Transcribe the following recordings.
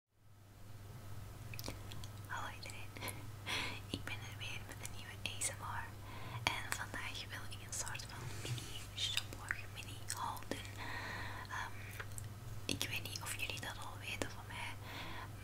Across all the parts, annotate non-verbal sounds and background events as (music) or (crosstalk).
(laughs) Hallo iedereen, (laughs) ik ben er weer met een nieuwe ASMR en vandaag wil ik een soort van mini shoplog, mini houden. doen. Ehm, ik weet niet of jullie dat al weten van mij,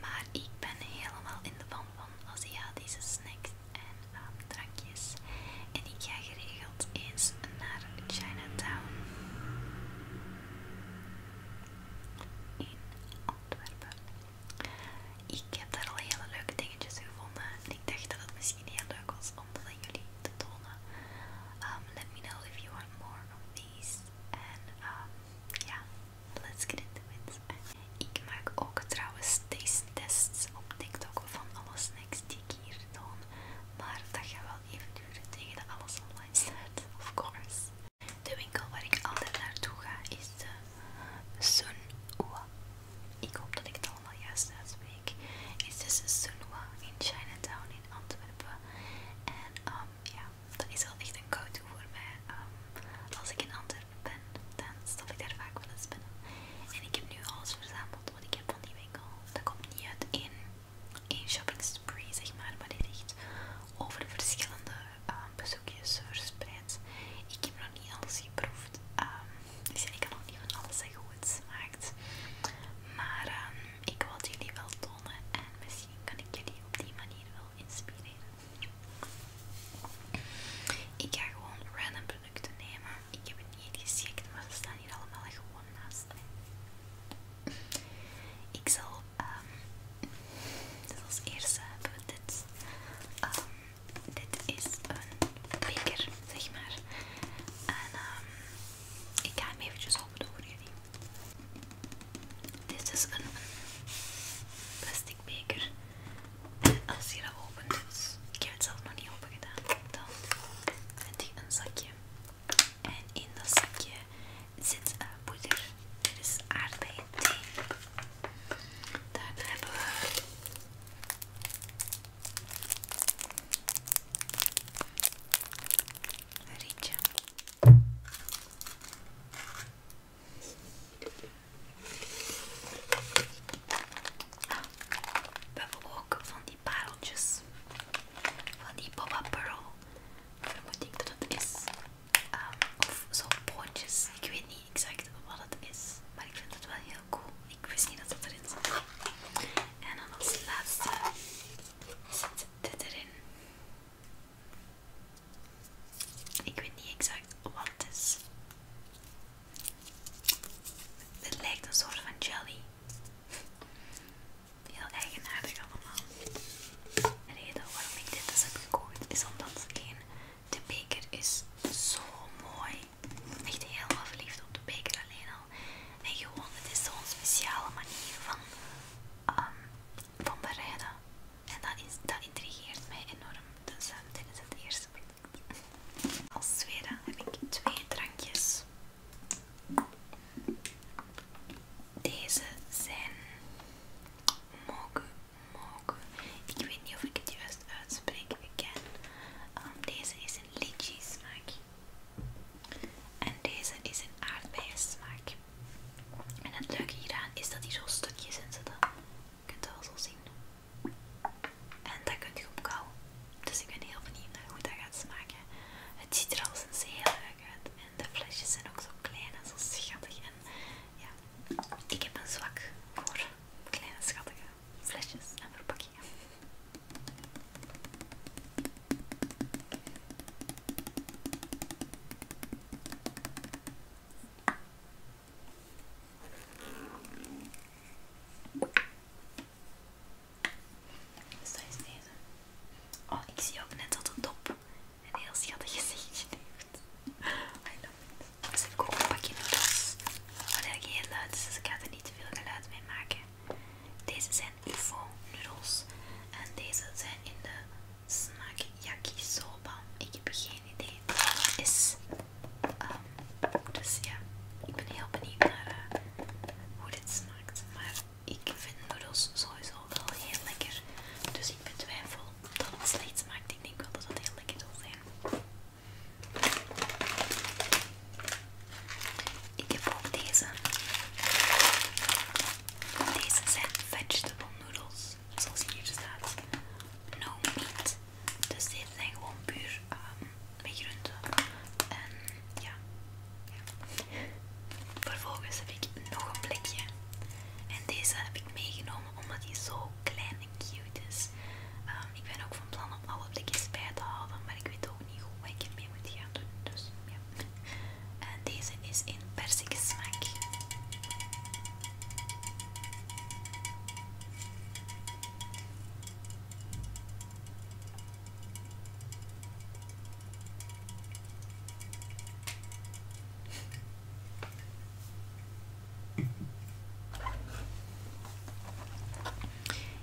maar ik ben helemaal in de van van Aziatische snacks en ehm, drankjes en ik ga geregeld eens naar Chinatown in Antwerpen. Ik heb daar al hele leuke dingetjes gevonden en ik dacht dat het misschien heel leuk was om dat aan jullie te tonen. Ehm, let me know if you want more of these. En ehm, ja, yeah, let's get into it. Ik maak ook trouwens taste tests op TikTok van alles snacks die ik hier toon. Maar dat gaat wel even duren tegen de alles online staat, of course. De winkel waar ik altijd naartoe ga is de eh, Sunwa. Ik hoop dat ik het allemaal juist uitspreek. Het is dus Sunwa in Chinatown in Antwerpen. En um, ja, dat is wel echt een go-to voor mij. Um, als ik in Antwerpen ben, dan stop ik daar vaak wel eens binnen. En ik heb nu alles verzameld wat ik heb van die winkel. Dat komt niet uit één een shopping spree, zeg maar, maar die ligt over verschillende ehm, bezoekjes verspreid. Ik heb nog niet alles geproefd, Misschien ehm, dus ik kan nog niet van alles zeggen hoe het smaakt. Maar ehm, ik wil jullie wel tonen en misschien kan ik jullie op die manier wel inspireren. Ik ga gewoon random producten nemen. Ik heb het niet geschikt, maar ze staan hier allemaal gewoon naast mij. Ik zal, ehm, als eerste hebben we dit. Ehm, dit is een beker, zeg maar. En ehm, ik ga hem eventjes opendoen voor jullie. Dit is een plastic beker. En als je dat opent, dus ik heb het zelf nog niet open gedaan, dan vind ik een zakje. En in dat zakje zit een eh, poeder. Dit is aardbeien thee. hebben we een rietje. Ah, we hebben ook van die pareltjes van die Boba Pearl. Vermoed ik dat het is. Um, of zo'n boontjes. Ik weet niet exact wat het is. Maar ik vind het wel heel cool. Ik wist niet dat het erin zat. En dan als laatste zit dit erin. Ik weet niet exact wat het is. Het lijkt een soort van jelly. Heel eigenaardig allemaal. De reden waarom ik dit dus heb gekocht is omdat één, de beker is zo mooi. Ik Echt helemaal verliefd op de beker alleen al. En gewoon, het is zo'n speciale manier van, ehm, bereiden. En dat, is, dat intrigeert mij enorm. Dus ehm, dit is het eerste product. Als tweede heb ik twee drankjes. Deze zijn mogen, mogen. Ik weet niet of ik het juist uitspreek. Ik ken. Um, deze is een lychee smaak. En deze is een aardbei smaak. En het leuke hieraan is dat hij zo stukjes in zitten. Je kunt dat wel zo zien. En dat u op kauwen Dus ik ben heel benieuwd naar hoe dat gaat smaken. Het ziet er al eens heel leuk uit de flesjes zijn ook zo klein en zo schattig. En ja, ik heb een zwak voor kleine schattige flesjes en verpakkingen. Dus dat is deze. Oh, ik zie ook net dat de dop een heel schattig gezichtje heeft. I love it. Dus heb ook een pakje noodles, Wat eigenlijk heel luid is, dus ik ga er niet te veel geluid mee maken. Deze zijn UFO noodles En deze zijn in de smaak yakisoba. Ik heb geen idee wat het is. Ehm, dus ja, ik ben heel benieuwd naar eh, hoe dit smaakt. Maar ik vind noedels sowieso wel heel lekker. Dus ik betwijfel dat het slecht smaakt. Ik denk wel dat dat heel lekker zal zijn. Ik heb ook deze. Deze zijn vegetable noedels, zoals hier staat. No meat. Dus deze zijn gewoon puur um, En ja, Vervolgens heb ik nog een blikje En deze heb ik meegenomen omdat die zo klein en cute is. Ehm, ik ben ook van plan om alle blikjes bij te halen, maar ik weet ook niet hoe ik het mee moet gaan doen. Dus ja. En deze is in persikensmaak.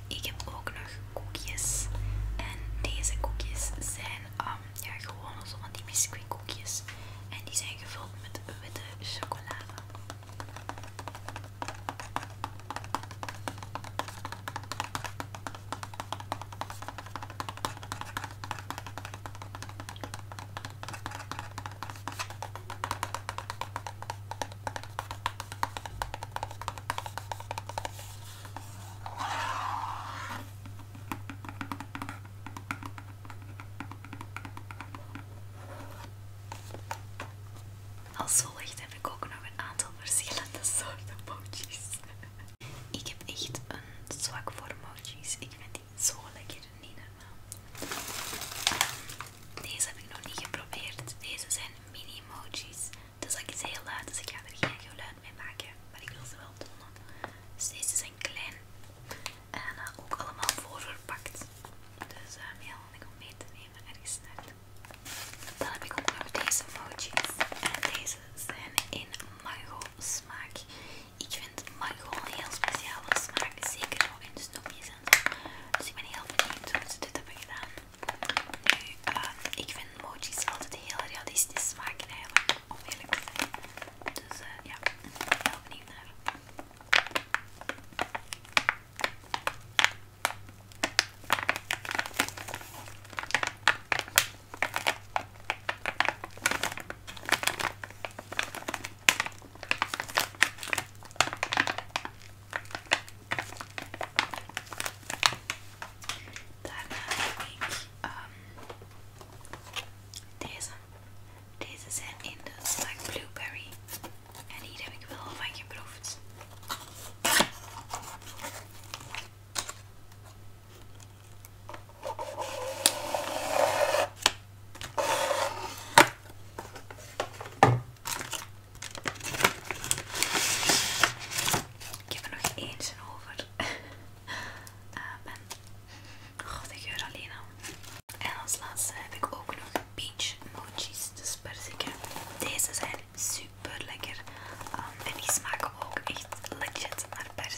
Ik heb ook nog koekjes. En deze koekjes zijn ehm, ja, gewoon zo van die biscuit koekjes. En die zijn gevuld met witte chocolade. Als volgt heb ik ook nog een aantal verschillende soorten pootjes. Ik heb echt een zwak voor emojis. Ik vind die zo lekker, niet ehm, normaal. Deze heb ik nog niet geprobeerd. Deze zijn mini-emojis. Dus ik is heel luid, dus ik ga er geen geluid mee maken. Maar ik wil ze wel tonen. Dus deze zijn klein. En eh, ook allemaal voorverpakt. Dus heel ehm, handig om mee te nemen ergens naartoe. Dan heb ik ook nog deze emojis. En deze zijn in mango smaak. Ik vind mango een heel speciale smaak, zeker nog in snoepjes en Dus ik ben heel benieuwd hoe ze dit hebben gedaan. Nu, ehm, ik vind emojis altijd heel realistisch smaken eigenlijk, om eerlijk te zijn. Dus eh, ja, ik ben heel benieuwd naar. Daarna heb ik ehm, deze. Deze zijn in de smaak blueberry. En hier heb ik wel van geproefd. Ik heb er nog eentje over. en oh, de En als laatste heb ik ook nog peach mochis, dus Deze zijn super lekker um, en die smaken ook echt legit per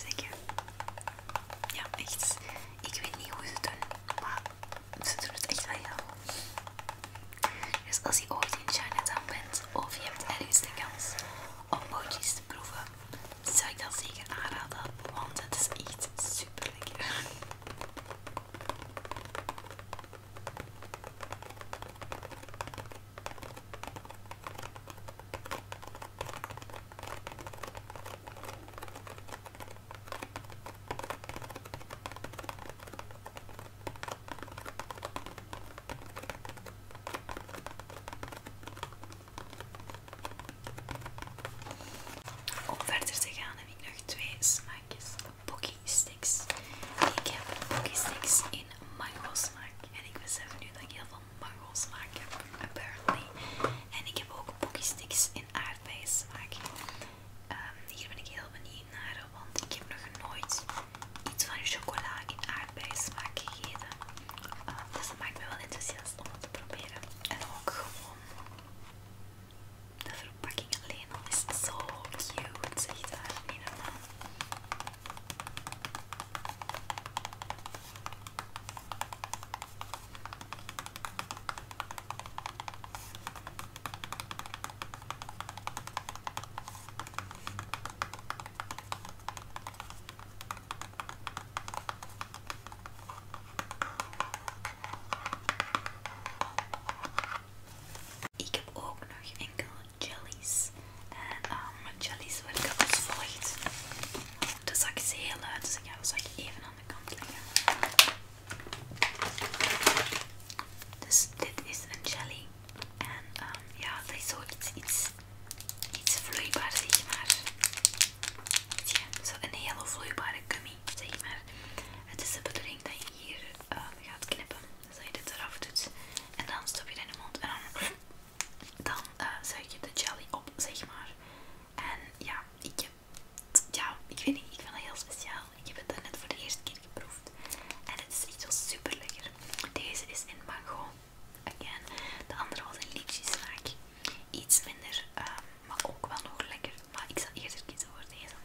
Ja, echt. Ik weet niet hoe ze het doen, maar ze doen het echt wel heel goed. Dus als je ooit in Chinatown bent of je hebt ergens de kans om bootjes te proeven, zou ik dat zeker aanraden, want het is echt super lekker. Om verder te gaan heb ik nog twee smaakjes Pocky Sticks. Ik heb Pocky Sticks in mango smaak en ik besef nu dat ik heel van mango smaak apparently. En ik heb ook pocky sticks in aardbeien smaak. Ehm, hier ben ik heel benieuwd naar, want ik heb nog nooit iets van chocola in aardbeien smaak gegeten. Ehm, dus dat maakt me wel enthousiast om het te proberen. En ook gewoon de verpakking alleen al is zo cute, echt daar, ik heb ook nog enkele jellies. En um, mijn jellies werken als volgt. De zak is heel leuk. dus ik ga de even aan de kant leggen. Dus dit is een jelly. En um, ja, dat is it's iets, iets, iets vloeibaars, zeg maar. Zie je, zo een hele vloeibare gummy, zeg maar. Het is de bedoeling dat je hier ehm, gaat knippen, dus dat je dit eraf doet. En dan stop je het in de mond en dan dan uh, je de jelly op, zeg maar. En ja, ik ja, ik weet niet, ik vind dat heel speciaal. Ik heb het net voor de eerste keer geproefd. En het is echt wel super lekker. Deze is in mango, again. De andere was in lychee-smaak. Iets minder, ehm, maar ook wel nog lekker. Maar ik zal eerder kiezen voor deze.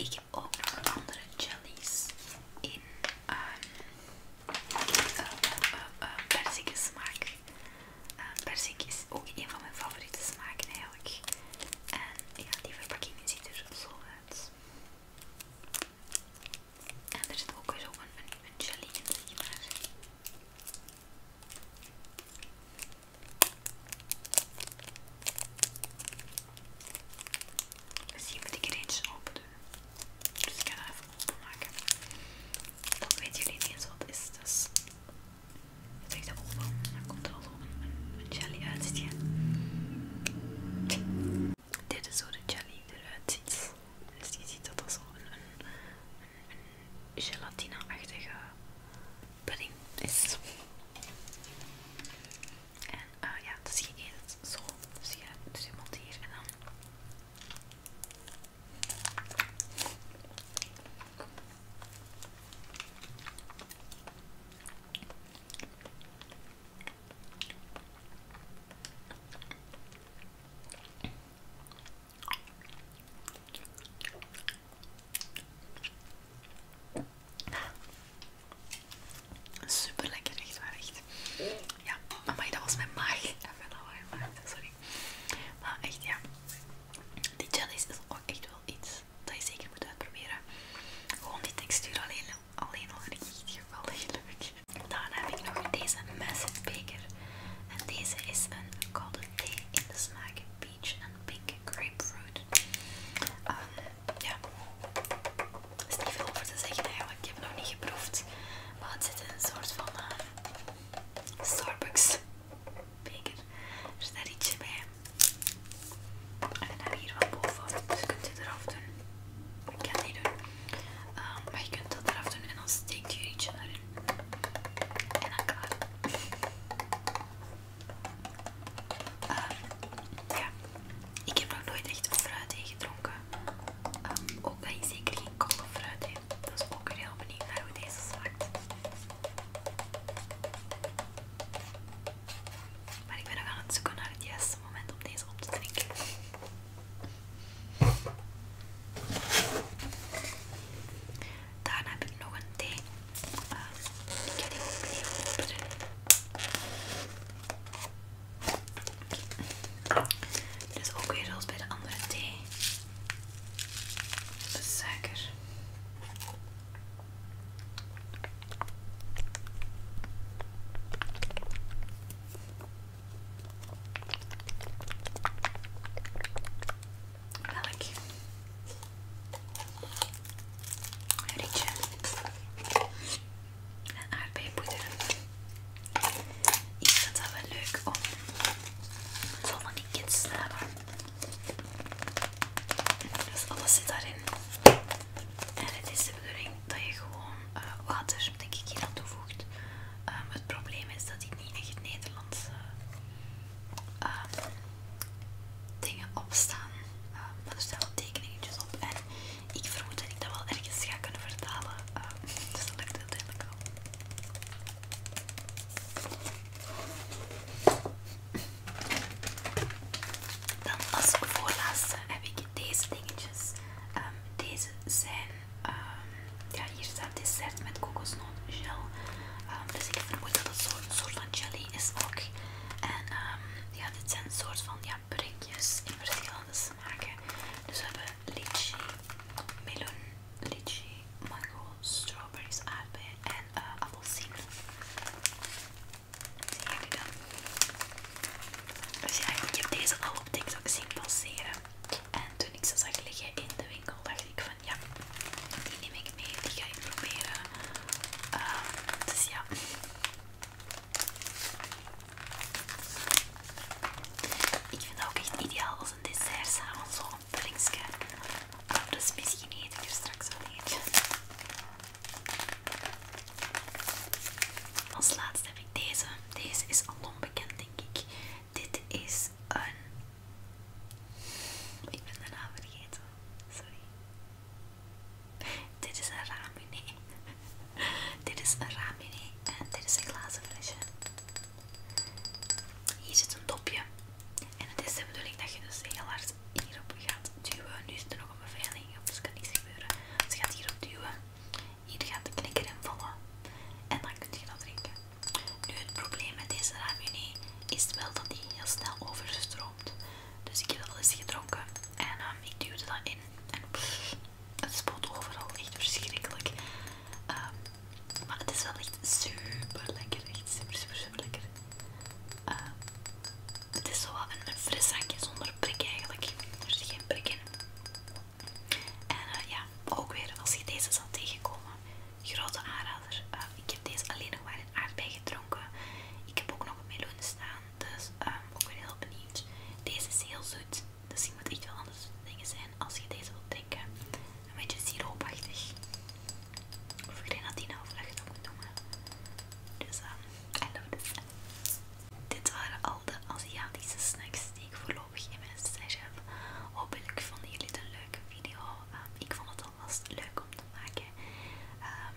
Okay. Ik heb ook nog andere jellies in um, uh, uh, smaak. Uh, ehm, persik is ook een van mijn favoriete smaken eigenlijk. En ja, die verpakking ziet er zo uit. En er zit ook weer een, een, jelly in, zeg maar. Misschien moet ik er eentje open doen. Dus ik ga dat even openmaken. Dan weten jullie niet eens wat het is. Dus het heeft de oog en dan komt er al een, een jelly uit. Dit is zo de jelly eruit ziet. Dus je ziet dat dat zo een, gelatineachtige pudding is. En eh, ja, dus je eet het zo. Dus je doet dus hier en dan Super lekker, echt waar, echt. Ja, maar dat was mijn maag. Even een maag, sorry. Maar echt, ja. Die jellies is ook echt wel iets dat je zeker moet uitproberen. Gewoon die textuur alleen, al echt geweldig leuk. Dan heb ik nog deze massive beker. En deze is een cold tea in de smaak peach and pink grapefruit. Ehm, ja, er is niet veel over te zeggen eigenlijk. Ik heb het nog niet geproefd. Maar het zit in een soort van eh, Starbucks beker er staat ietsje bij en dan heb je hier wat boven dus je kunt dit eraf doen ik kan het niet doen ehm, maar je kunt dat eraf doen en dan steekt je ietsje erin en dan klaar ehm, ja ik heb nog nooit echt fruit gedronken ehm, ook dat je zeker geen koude fruit dat is ook weer heel benieuwd naar hoe deze smaakt. Maar ik ben nog aan het zoeken naar het juiste moment om deze op te drinken. Daarna heb ik nog een thee. Eh, ik ga die ook even Dus ook weer zoals bij de andere thee zeker suiker. Melk. Rietje. En aardbeienpoeder. Ik vind dat wel leuk om zal van die kids Dat Dus alles zit daarin. En het is de bedoeling dat je gewoon eh, water, denk hier aan toevoegt. Ehm, het probleem is dat die niet echt Nederlandse ehm, dingen opstaan. staan. Ehm, maar er staan wel tekeningetjes op. En ik vermoed dat ik dat wel ergens ga kunnen vertalen. (laughs) dus dat lukt uiteindelijk al. Dan als voorlaatste heb ik deze dingetjes. Ehm, deze zijn, ehm, ja hier staat dessert met kokosnootgel. gel. Ehm, dus ik vermoed dat het zo'n soort van jelly is ook. En ja, dit zijn een soort van ja, prikjes in verschillende smaken. Dus we hebben lychee, meloen, Litchi, mango, strawberries, aardbeien en uh, Dus ja, ik heb deze al op TikTok zien passeren. En toen ik ze zag liggen in de winkel, dacht ik van ja, die neem ik mee, die ga ik proberen. Ehm, dus ja. Ik vind dat ook echt ideaal als zijn dessert zo zo'n ah, dat is misschien eet ik straks wel eentje. Als laatste heb ik deze. Deze is al onbekend, denk ik. Dit is een... Ik ben de naam vergeten. Sorry. Dit is een ramen. (laughs) dit is een ramen en dit is een glazen flesje. Hier zit een dopje. En het is de bedoeling dat je dus heel hard hierop gaat duwen. Nu is er nog een beveiliging op, dus kan niets gebeuren. Dus je gaat hierop duwen. Hier gaat de knikker in vallen. En dan kun je dat drinken. Nu het probleem met deze ravioli is wel dat die heel snel overstroomt. Dus ik heb al eens gedronken. En ehm, ik duwde dat in. En het spoot overal. Echt verschrikkelijk. Ehm, maar het is wel echt super lekker. Echt super, super, super lekker. Ehm, het is zo wel een, fris zakje zonder prik eigenlijk. Er zit geen prik En eh, ja, ook weer als je deze zal tegenkomen. Grote aanrader. Ehm, ik heb deze alleen nog maar in aardbei gedronken. Ik heb ook nog een meloen staan. Dus ehm, ook weer heel benieuwd. Deze is heel zoet. Dus zijn moet echt wel anders dingen zijn als je deze wilt drinken. Een beetje siroopachtig. Of dat of nou dat je dat ook noemen. Dus, uh, I love this. Dit waren al de Aziatische snacks die ik voorlopig in mijn stage heb. Hopelijk vonden jullie het een leuke video. Ehm, ik vond het alvast leuk om te maken. Ehm,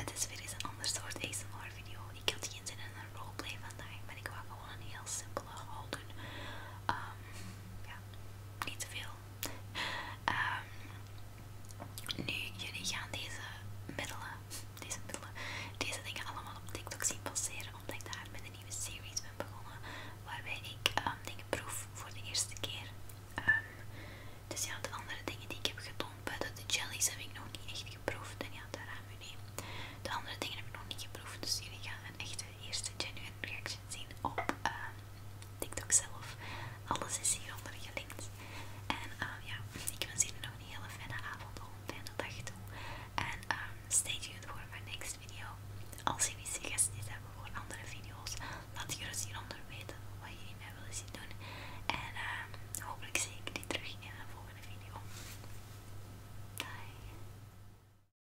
het is weer eens een ander soort ASMR video. Ik had geen zin in een roleplay vandaag, maar ik wou gewoon een heel simpele haul Um, ja, niet te veel. Ehm, nu, jullie gaan deze middelen, deze middelen, deze dingen allemaal op TikTok zien passeren, omdat ik daar met een nieuwe series ben begonnen, waarbij ik ehm, dingen proef voor de eerste keer. dus ja, de andere dingen die ik heb getoond, buiten de jellies, heb ik nog niet echt geproefd. En ja, daar gaan we nu. De andere dingen heb ik nog niet geproefd, dus jullie gaan een echte de eerste genuine reaction zien op ehm, TikTok zelf. Alles is hieronder gelinkt. En ehm, ja, ik wens jullie nog een hele fijne avond of een fijne dag toe. En ehm, stay tuned voor mijn next video. Als jullie suggesties hebben voor andere video's, laat je eens hieronder weten wat jullie mij willen zien doen. En hopelijk zie ik jullie terug in een volgende video. Bye!